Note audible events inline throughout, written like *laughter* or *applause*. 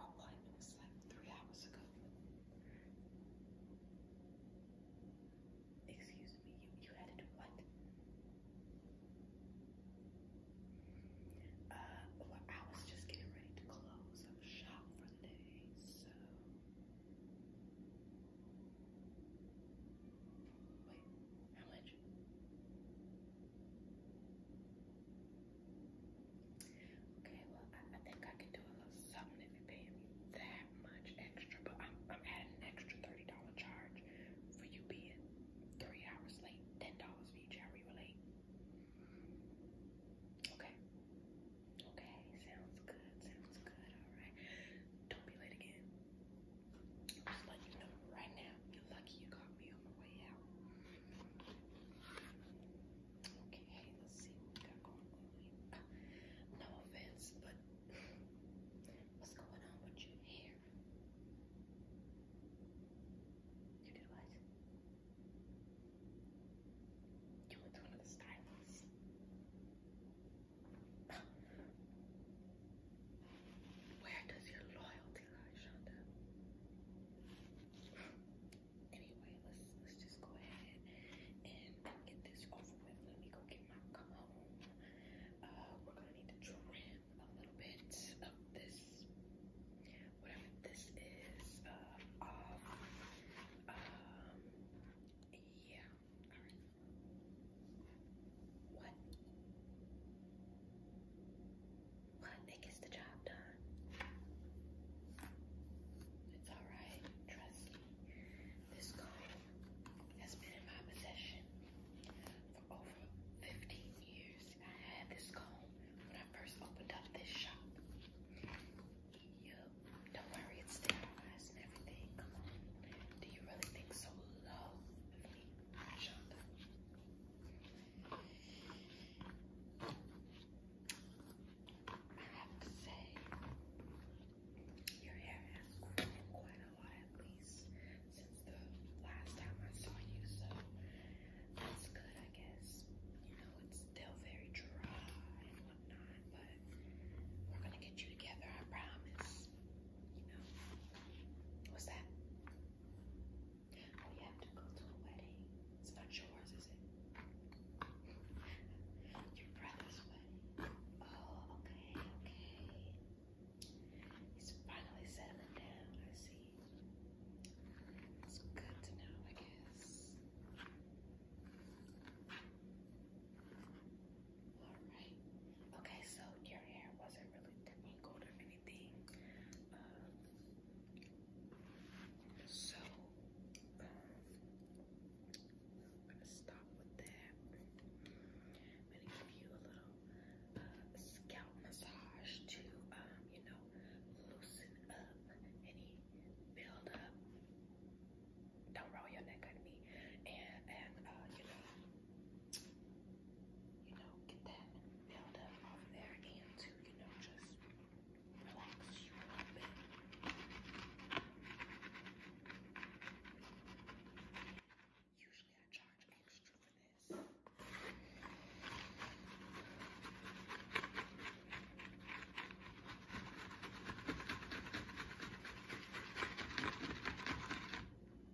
Our appointment is like three hours ago. Excuse me, you, you had to do what? Uh, well, I was just getting ready to close up shop for the day, so. Wait, how much? Okay, well, I, I think I can do a little something if you pay me that much extra, but I'm, I'm adding an extra $30 charge for you being three hours late, $10 for each hour you were late. Okay. Okay, sounds good, sounds good, all right. Don't be late again. I'm just letting you know right now, you're lucky you caught me on my way out. Okay, let's see what going on. Uh, no offense, but what's going on with your hair? You did what? You went to another stylist. Where does your loyalty lie, Shonda? Anyway, let's let's just go ahead and get this over with. Let me go get my comb. Uh, we're gonna need to trim a little bit of this, whatever this is, uh, off. Um, yeah. All right. What? but it gets the job done. It's alright, trust me. This comb has been in my possession for over 15 years. I had this comb when I first opened up this shop. Yep, don't worry, it's sterilized and everything. Come on, do you really think so low of me, Shonda? I have to say, your hair has grown quite a lot, at least since the last time I saw you. So that's good, I guess. You know, it's still very dry and whatnot, but we're gonna get you together. I promise. You know, what's that? We oh, have to go to a wedding. It's not yours, is it? Your brother's wedding. Oh, okay, okay. He's finally settling down, I see. It's good to know, I guess. Alright. Okay, so your hair wasn't really tangled or anything anything. Um, so um, I'm gonna stop with that. I'm gonna give you a little uh, scalp massage to um, you know loosen up any build up. Don't roll your neck at me, and and uh, you know you know get that build up off there, and to you know just relax you a little bit. Usually I charge extra for this.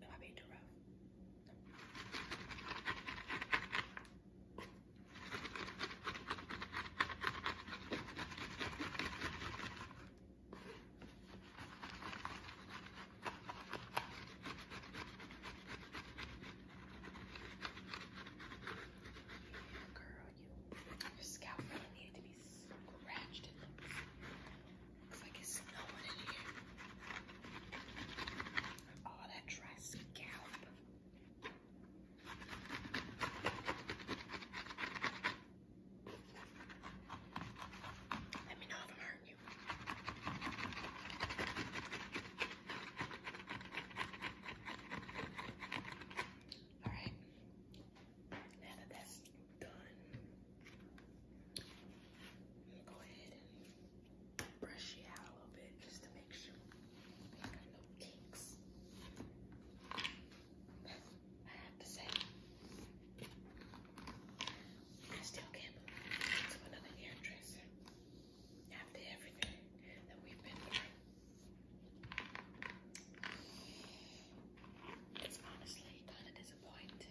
Am I being too rough? No. Girl, you, your scalp really needed to be scratched. It looks, looks like it's snowing in here. All oh, that dry scalp. Let me know if I'm hurting you. All right. Now that that's done, I'm gonna go ahead and brush out a little bit just to make sure we got no kinks. I have to say, I still can't believe it's another hairdresser after everything that we've been through. It's honestly kind of disappointing.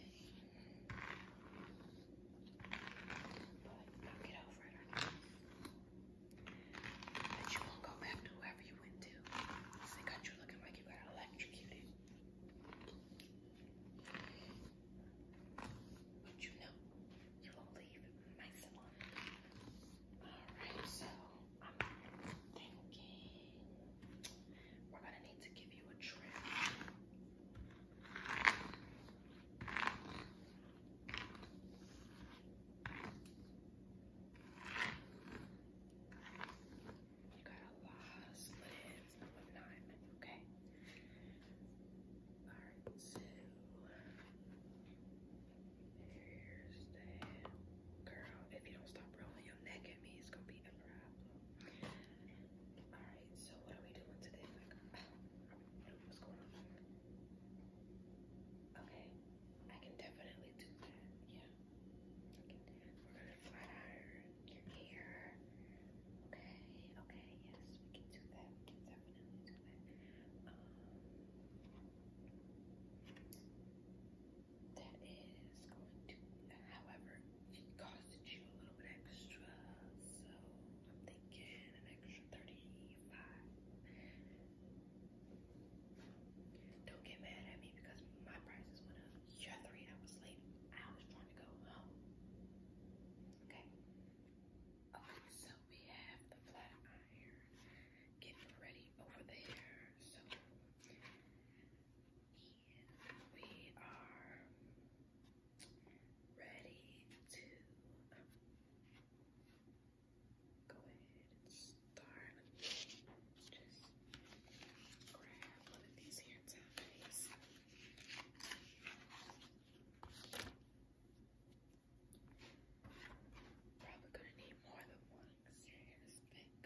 But you won't go back to whoever you went to. Because got you looking like you got electrocuted. But you know, you won't leave my salon. Alright, so I'm thinking we're gonna need to give you a trim. You got a lot of slips and whatnot, okay? Alright, so here's that. Girl, if you don't stop rolling your neck at me, it's gonna be a problem. Alright, so what are we doing today? Like, Okay, I can definitely do that. Yeah. We're gonna flat iron your hair. Okay, okay, yes, we can do that. We can definitely do that. Um that is going to however it costs you a little bit extra, so I'm thinking an extra 35 Don't get mad at me because my prices went up. You're three hours late. I was trying to go home. Okay. Okay, so we have the flat iron getting ready over there. So we are ready to um, go ahead and start. just grab one of these hair ties. Probably gonna need more than one because your um,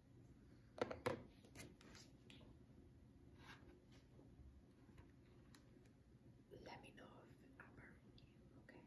Let me know if I burn you, okay?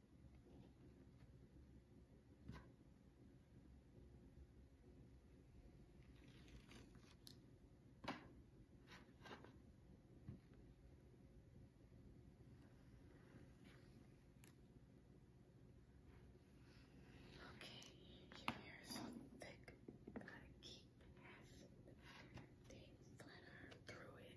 Okay, your hair is thick, gotta keep half the thing through it.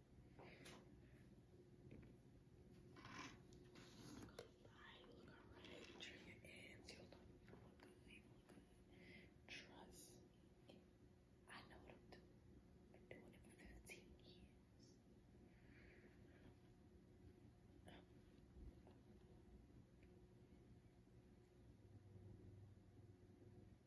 Alright, look alright. Turn your ends. You look, you I know what I'm doing. I've been doing it for 15 years.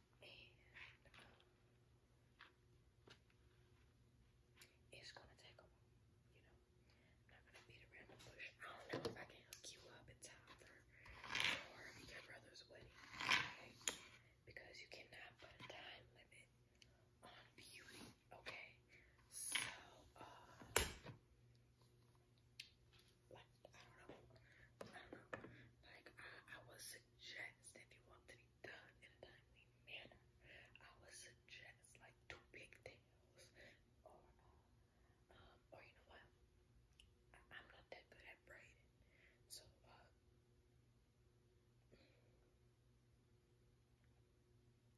and um, it's gonna take a while, you know. I'm not gonna beat around the bush. I don't know if I can hook you up in time for or your brother's wedding, okay? Because you cannot put a time limit on beauty, okay? So, uh, like, I don't know, I don't know, like, I, I was suggest if you want to be done in a timely manner, I would suggest like two big tails or uh, um or you know what? I I'm not that good at braiding. So uh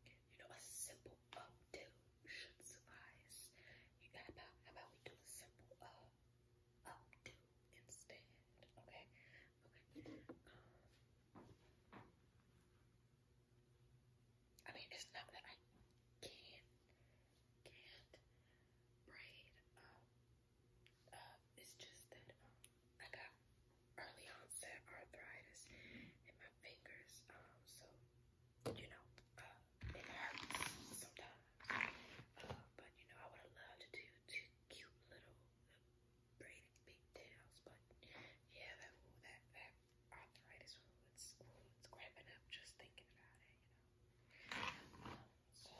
you know a simple updo should suffice. You got about how about we do a simple uh I'll do instead. Okay. Okay. Um, I mean, it's not that I can't can't braid. Um, uh, it's just that um, I got early onset arthritis in my fingers. Um, so you know, uh, it hurts sometimes. Uh, but you know, I would have loved to do two cute little braided big tails, but yeah, that that that arthritis it's, it's grabbing up just thinking about it, you know. Um, so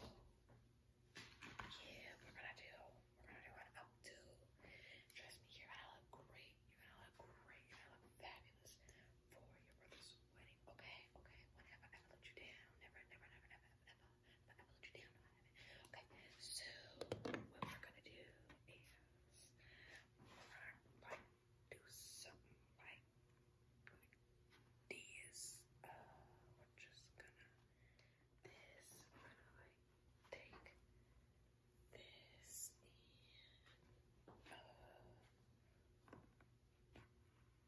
yeah, we're gonna do we're gonna do an updo. Trust me, you're gonna look great. You're gonna look great. You're gonna look fabulous for your brother's Waiting. Okay, okay. Whenever I you Never, never, never, never, let you down. Okay, so what we're gonna do is we're gonna like do something like this. Uh, we're just gonna this. We're like take this and uh,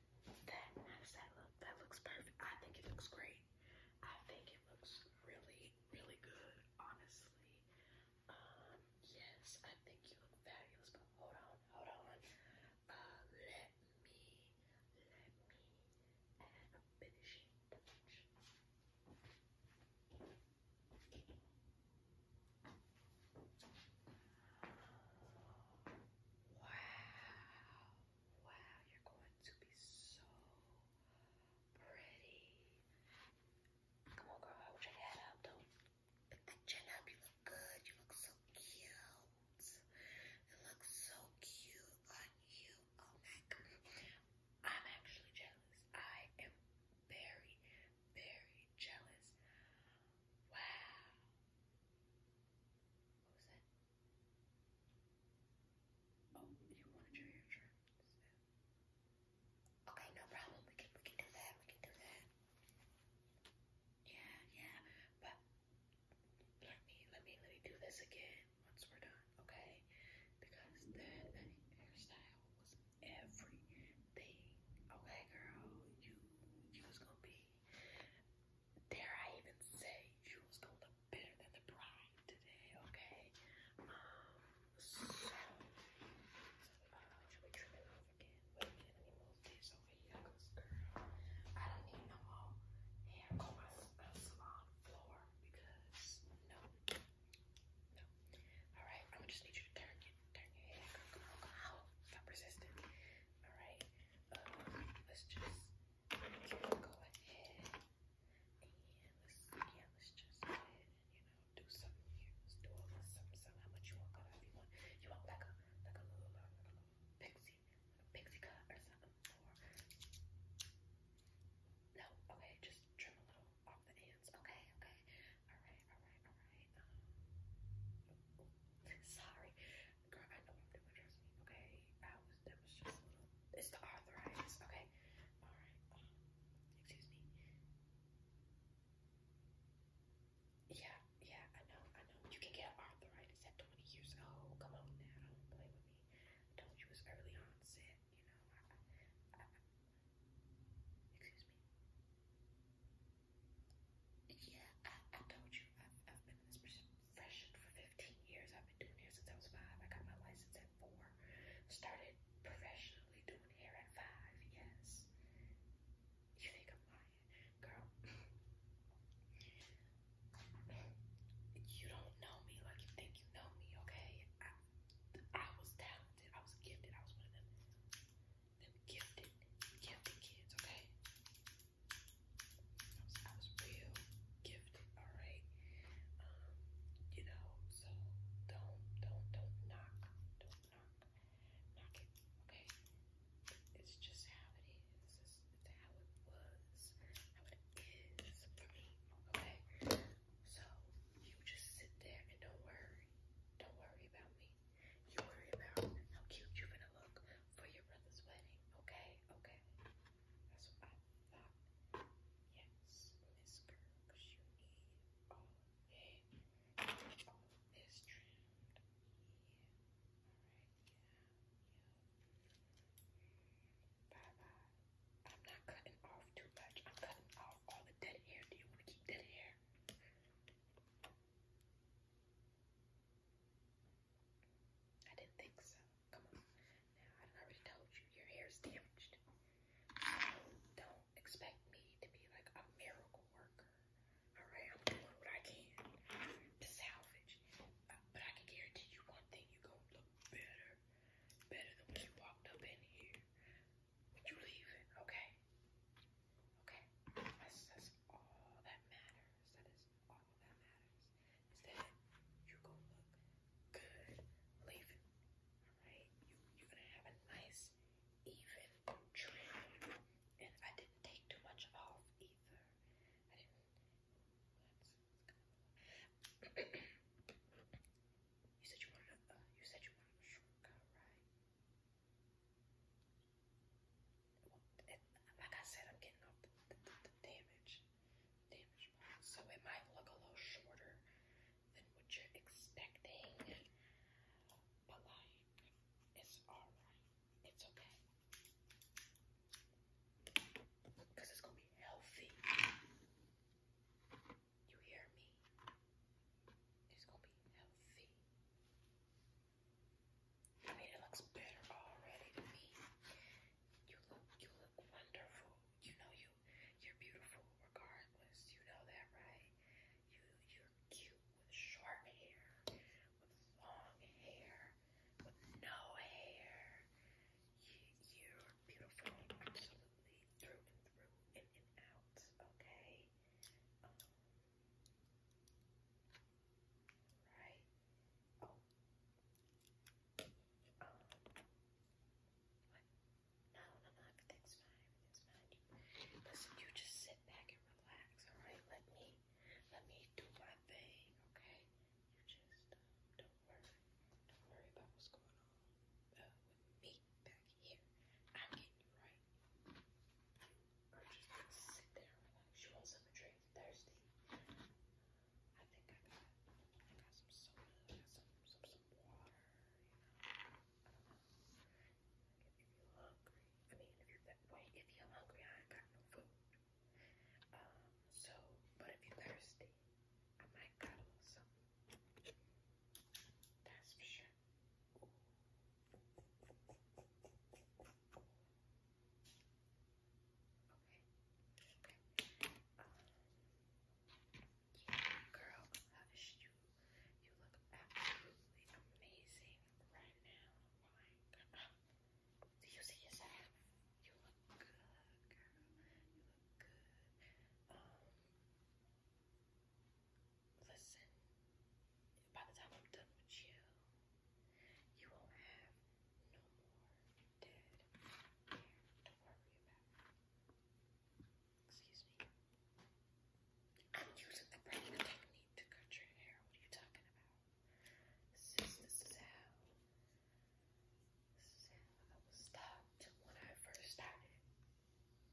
that. How does that look? That looks perfect. I think it looks great. I think it looks really, really good, honestly. Um, yes, I think you look fabulous, but hold on, hold on. Uh, let me, let me add a finishing touch. Wow, wow, you're going to be so pretty. Come on, girl, hold your head up. Don't put that chin up. You look good. You look so cute. It looks so cute on you. Oh my god. I'm actually jealous. I am very, very jealous. Wow. What was that? Oh, you wanted your insurance. Okay, no problem. We can we can do that. We can do that. Yeah, yeah. But let me let me let me do this again once we're done, okay? Because that hairstyle was everything. Okay, girl, you you gonna be Dare I even say you was gonna look better than the bride today, okay? Um, so, so uh, should we trim it off again? Wait a minute, let me move this over here, cause girl, I don't need no more hair on my uh, salon floor because no, no. All right, I'm gonna just need you to turn it, turn your head, girl, girl, girl. Stop resisting. All right, um, let's just keep ahead. And let's, yeah, let's just you know, do something here. Let's do all this something, something. How much you want cut You want, like a, like a little, pixie, a pixie cut or something? no, okay, just trim a little off the ends. Okay, okay. All right, all right, all right. Um, sorry, Girl, I know what I'm doing, trust me. Okay, I was that was just it's the arthritis. Okay, all right. Um, excuse me. Yeah, yeah, I know, I know. You can get arthritis at 20 years old. Come on now, don't play with me. I told you it's early onset. You know, I, I, I, excuse me. Yeah, I, I told you, I've, I've been in this profession for 15 years. I've been doing hair since I was five. I got my license at four. Started professionally doing hair at five, yes. You think I'm lying, girl? You don't know me like you think you know me, okay? I, I was talented. I was gifted. I was one of them, them gifted, gifted kids, okay? I was, I was real gifted, all right. Um, you know, so don't, don't, don't knock, don't knock, knock it, okay. It's just how it is. It's, just, it's how it was, how it is for me, okay. So you just sit there and don't worry, don't worry about me. You worry about how cute you're gonna look for your brother's wedding, okay? Okay. That's what I thought. Yes, Miss Girl, because you need all of it. All of this trimmed. Yeah. Alright, yeah, yeah. Bye bye. I'm not cutting off too much. I'm cutting off all the dead hair. Do you want to keep dead hair? I didn't think so. Come on. Now, I already told you, your hair's damaged. So don't expect me to be like a miracle worker. Alright, I'm doing what I can to salvage. Uh, but I can guarantee you one thing, you're gonna look better. Better than when you walked up in here. When you leave it, okay? Okay? That's, that's all that matters. That is all that matters. Is that you go look good leaving. Alright? You you're gonna have a nice even trim. And I didn't take too much off either. I didn't *coughs* you said you wanted a uh, you said you wanted a shortcut, right? like I said, I'm getting off the, damage, damage so it might look a little shorter than what you're expecting, but like, it's all right, it's okay, because it's gonna be healthy. You hear me? It's gonna be healthy. I mean, it looks better already to me. You look, you look wonderful. You know you, you're beautiful regardless. You know that, right? You, you're cute with short hair, with long hair, with no hair. You, you're beautiful, absolutely through and through, in and out. Okay. Um, Right. Oh. Um. What? No, no, no. Everything's fine. Everything's fine. You, listen, you just sit back and relax. All right. Let me. Let me do my thing. Okay. You just um, don't worry. Don't worry about what's going on uh, with me back here. I'm getting you right. Gertrude's gonna sit there and relax. She wants something to drink. Thirsty. I think I got I got some soda, I got some some some water, you know. I don't know. Like if you're hungry. I mean if you're that way, if you're hungry, I ain't got no food. Um, so but if you're thirsty, I might got a little something. That's for sure yeah, girl, hush you. You look absolutely amazing right now. Oh my God. Do you see yourself? You look good, girl. You look good. Um, listen, by the time I'm done with you, you won't have no more dead hair to worry about. Excuse me. I'm using the brain technique to cut your hair. What are you talking about? Sis, this is how. This is how I was stopped when I first started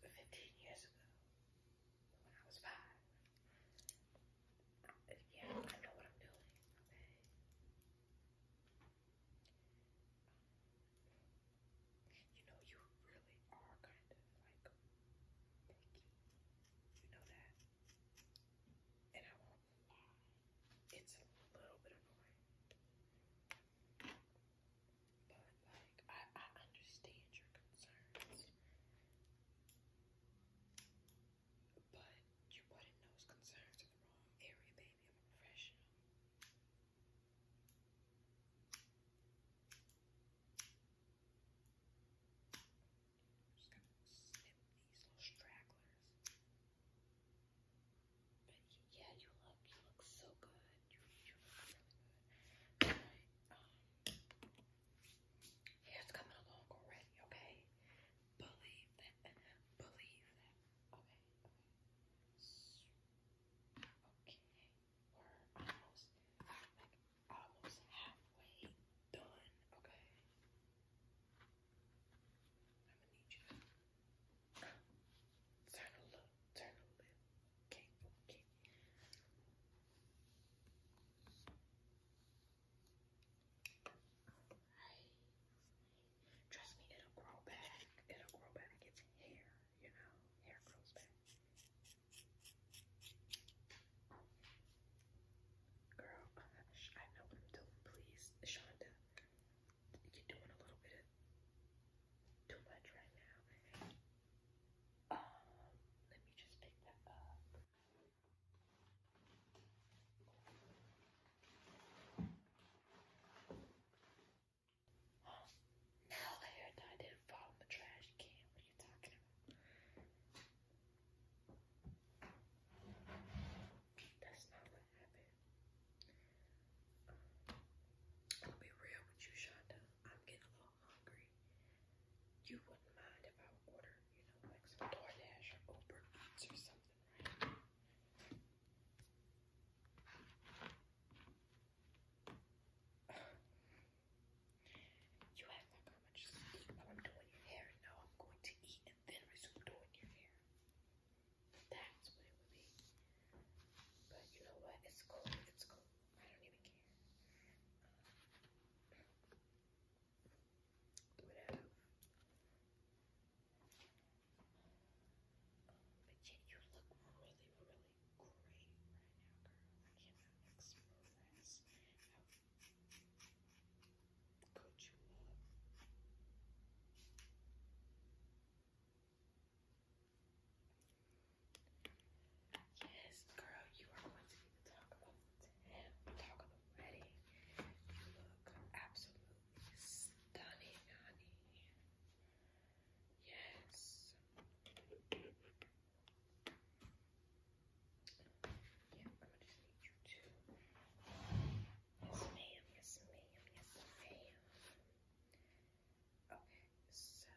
15 years ago. When I was five, yeah, I know what I'm doing, okay? You know, you really are kind of like picky. You know that? And I won't lie, it's a little bit annoying. But like, I, I understand your concerns. But you wouldn't know it's concerned to the wrong area, baby. I'm a professional. I'm just gonna snip these little stragglers. But yeah, you look, you look so good. You, you look really good. But, um, it's coming along already, okay? Believe that. Believe that. Okay, okay. Okay. We're almost like almost halfway done, okay? I'm gonna need you to uh, turn a look, turn a lip. Okay, okay. Right. Trust me, it'll grow back. It'll grow back. It's hair, you know. Hair grows back. Girl, gosh, I know what I'm doing, please. Shonda, you're doing a little bit of too much right now. Um, let me just pick that up. Oh, now the hair dye didn't fall in the trash can. What are you talking about? That's not what happened. Um, I'll be real with you, Shonda. I'm getting a little hungry. You wouldn't mind if I would order, you know, like some DoorDash or Uber Eats or something, right? You act like I'm gonna just eat while I'm doing your hair. No, I'm going to eat and then resume doing your hair. That's what it would be. But you know what? It's cool. It's cool. I don't even care. Um, would have um, but yeah, you look really, really great right now, girl. I cannot express how good you look. Yes, girl, you are going to be the talk of the town, the talk of the wedding. You look absolutely stunning, honey. Yes. Yeah, I'm gonna just need you to. Yes, ma'am. Yes, ma'am. Yes, ma'am. Okay, so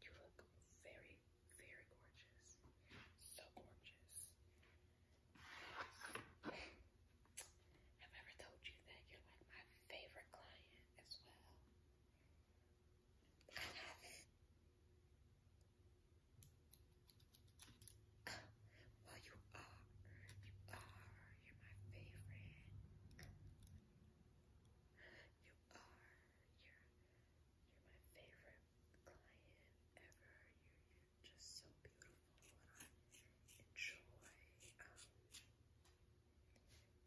you look very, very gorgeous. So gorgeous. i ever told you that you're like my favorite client as well. Well, you are. You are. You're my favorite. You are you're my favorite client ever. You're, you're just so beautiful, and I enjoy um,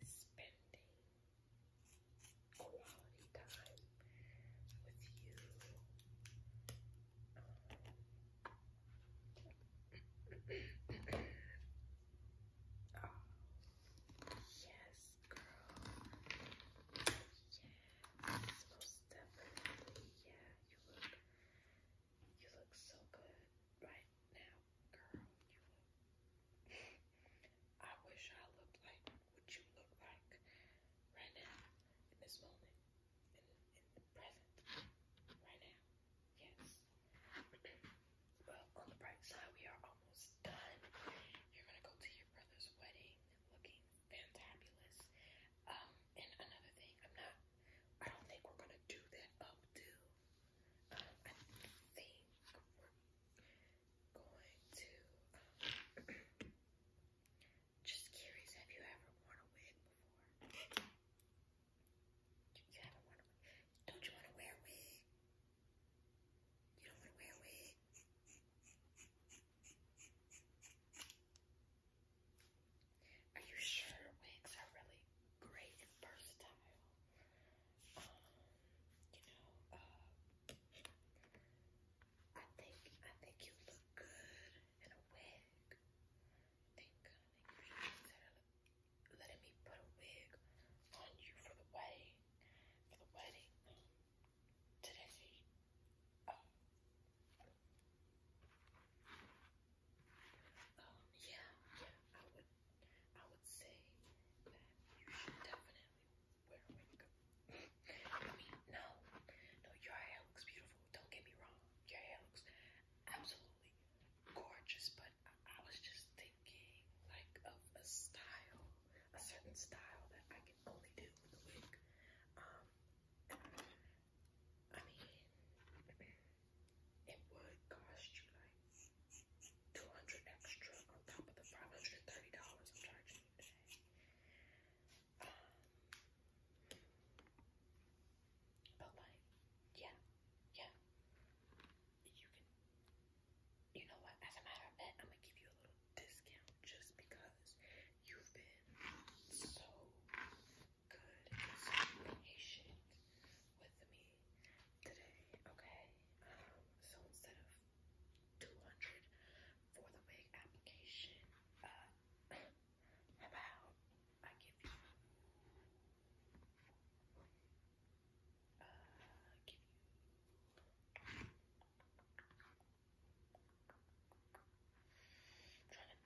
spending quality time with you. Um, oh, yes girl. Yes, most definitely. Yeah, you look, you look so good right now, girl. You look. I wish I looked like what you look like right now, in this moment, in, in the present, right now. Yes. Well, on the bright side, we are almost done. You're gonna go to your brother's wedding looking fantabulous. Um, and another thing, I'm not, I don't think we're gonna do that updo. Um, I think we're going to, um, *clears throat* just curious, have you ever worn a wig before? You haven't worn a wig? Don't you want to wear a wig? You don't want to wear a wig. Are you sure wigs are really great and versatile? Um, you know, uh, I think I think you look good in a wig. I think uh, I think you should consider letting me put a wig on you for the wedding, for the wedding today. Um, um, yeah, yeah, I would, I would say that you should definitely wear makeup. I mean, no, no, your hair looks beautiful. Don't get me wrong, your hair looks absolutely gorgeous, but I was just thinking like of a style, a certain style that I can only do with a wig. Um, I mean, it would cost you like 200 extra on top of the $530 I'm charging you today. Um, but like, yeah, yeah, you can you know what, as a matter of fact, I'm gonna give you a little discount just because you've been so good and so patient with me today, okay? Um, so instead of 200 for the wig application, uh, *clears throat* how about I give you uh, give you. I'm trying to think. I'm trying to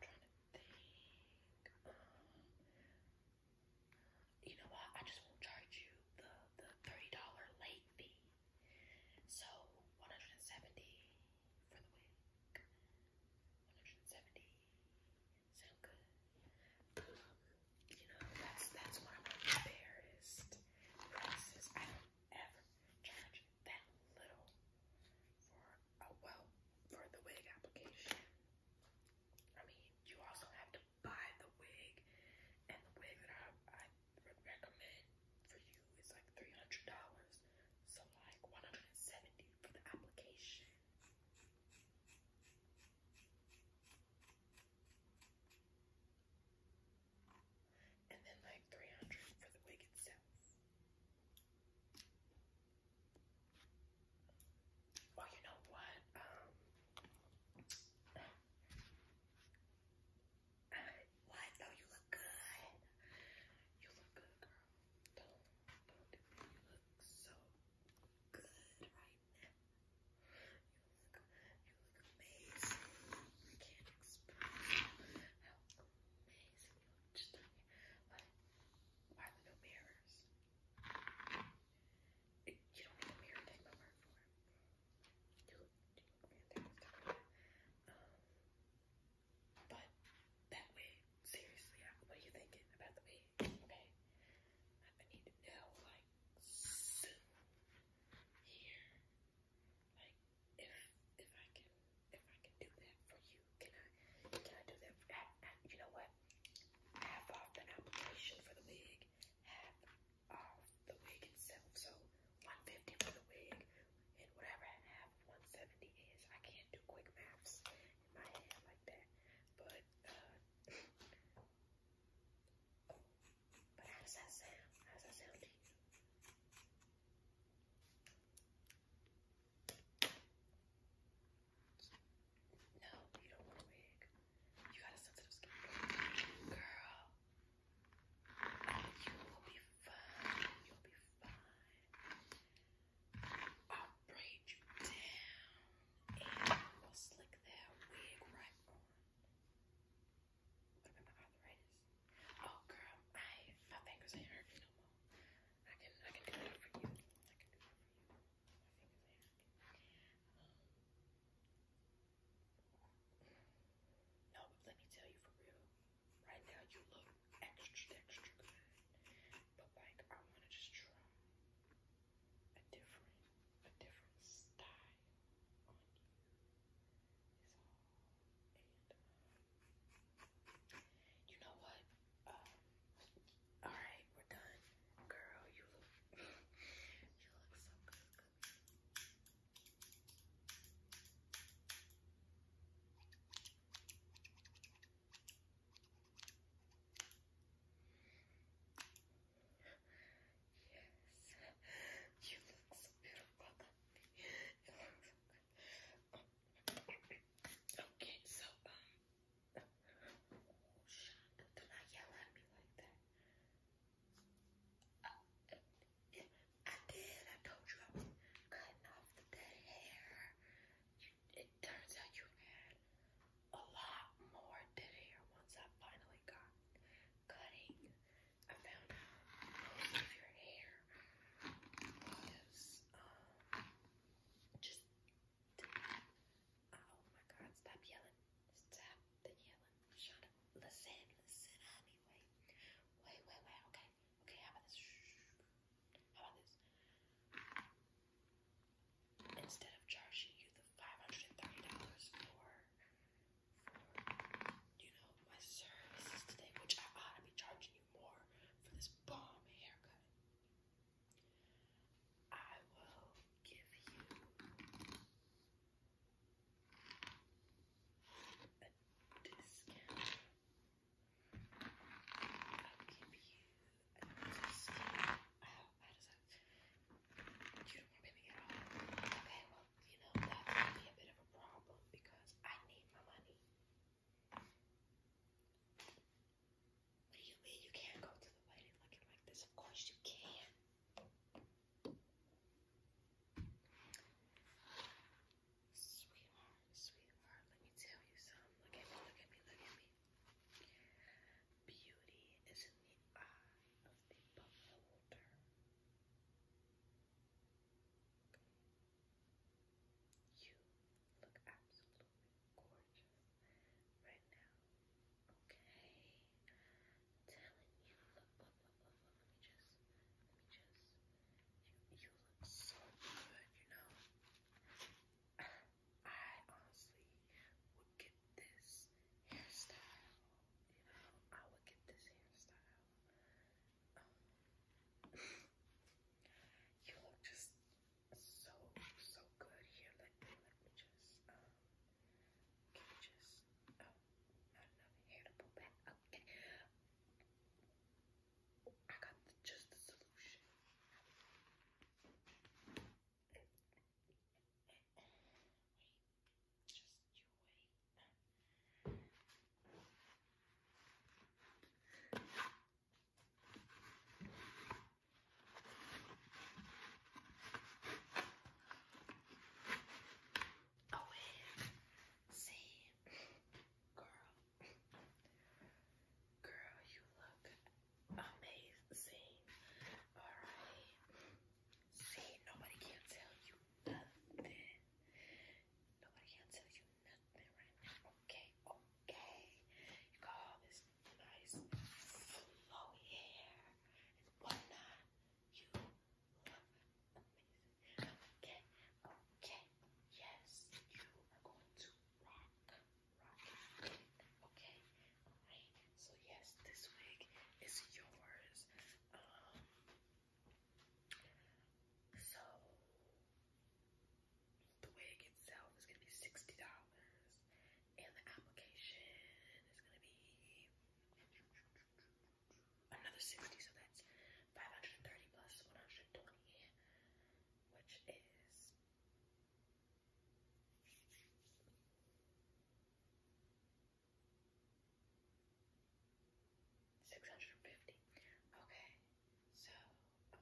think. Um, you know what? I just won't charge you the the thirty dollar late fee. So one hundred and seventy for the week. One hundred and seventy sound good. Um, you know, that's that's one of my fairest prices. I don't ever charge that little for a uh, well for the wig application. I mean, you also have to buy the wig, and the wig that I, I would recommend for you is like three hundred dollars. So like one hundred and seventy for the application. And then like 300 for the wig itself. Oh, you know what? Um, uh, what? No, oh, you look good. You look good, girl. Don't, don't. You look so good right look just like, why are there no mirrors? It, you don't need a mirror to take my word for it. You look, you look fantastic. Um, but that wig, seriously, what are you thinking about the wig? okay, okay. I need to know like soon here. Like if if I can if I can do that for you, can I can I do that for that? You know what? Half off an application for the wig, half off the wig itself. So 150 for the wig and whatever half 170 is. I can't do quick maths in my head like that. But uh but how does that sound? How does that sound to you? No, you don't want a wig. You got a sensitive skin. Girl, you will be fine. You'll be fine. I'll braid you down we'll slick Oh girl, I my fingers ain't hurting no more. I can I can do that for you. I can do that for you. Um, no, but let me tell you for real. Right now you look extra extra good. But like I wanna just a different a different style on you is all. And um, you know what? Um, all right, we're done, girl. You look *laughs* you look so good. good. All Yes, you look so beautiful. You look so good. Oh. Okay, so, um, oh, Sean, do not yell at me like that. Oh, I did. I told you I was cutting off the dead hair. You it turns out you had a lot more than here. once I finally got cutting. I found out of your hair was um, just, oh my god, stop yelling, stop the yelling, shut up, listen, listen honey, wait, wait, wait, wait, okay, okay, how about this, how about this, Instead of charging you the $530 for, you know, my services today, which I ought to be charging you more for this bomb haircut, I will give you a discount. Okay, well, you know, that's going be a bit of a problem because I need my money. What do you mean you can't go to the lady looking like this? Of course you can. Sweetheart, sweetheart, let me tell you something. Look at me, look at me, look at me. Beauty is in the eye of the beholder. You look absolutely gorgeous right now. Okay. telling you, look, Let me just, let me just. you look so good, you know. I honestly would get this hairstyle. You know, I would get this hairstyle. Um, you look just so so good here. Let me let me just um can you just oh not enough hair to pull back. Okay. I got the, just the solution. Wait, you Oh, wait. See, girl, girl, you look Amazing. Alright. See, nobody can tell you nothing. Nobody can tell you nothing right Okay, okay. You got all this nice flow hair and whatnot. You look amazing. Okay, okay. Yes, you are going to rock right? Okay, right. So yes, this wig is yours. Um, so the wig itself is gonna be sixty dollars, and the application is gonna be um, another sixty. So that's five hundred and thirty plus one hundred and twenty, which is. $1,200. Six hundred and fifty. Okay, so um,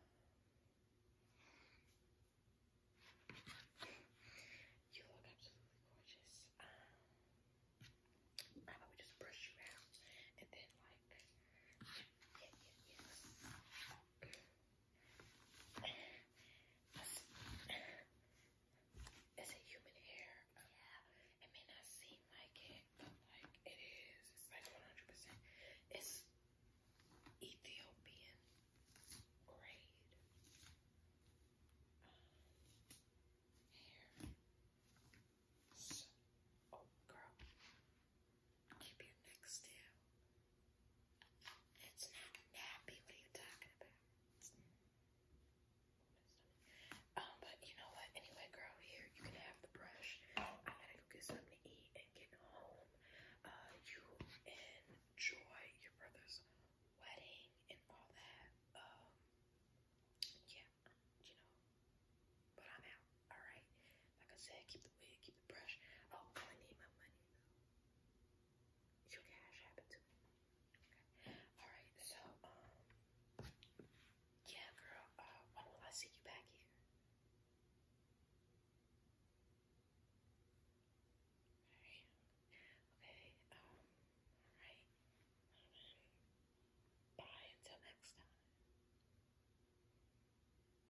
you look absolutely gorgeous. Um, I would just brush you out and then like yeah, yeah, yeah. It's a human hair. Um, yeah. It may not seem like it, but like it is. It's like 100%. It's Ethiopian grade um, hair. So, oh, girl. Keep your neck still. It's not nappy. What are you talking about? Um, but you know what? Anyway, girl, here you can have the brush. I gotta go get something to eat and get home. Uh, you enjoy your brother's wedding and all that. Um, yeah, you know. But I'm out. All right. Like I said, keep the wig, keep the brush. Oh, I need my money though. Your cash happened to me. Okay. Alright, so um yeah girl, uh when will I see you back here? Okay. Okay, um, alright. Bye until next time.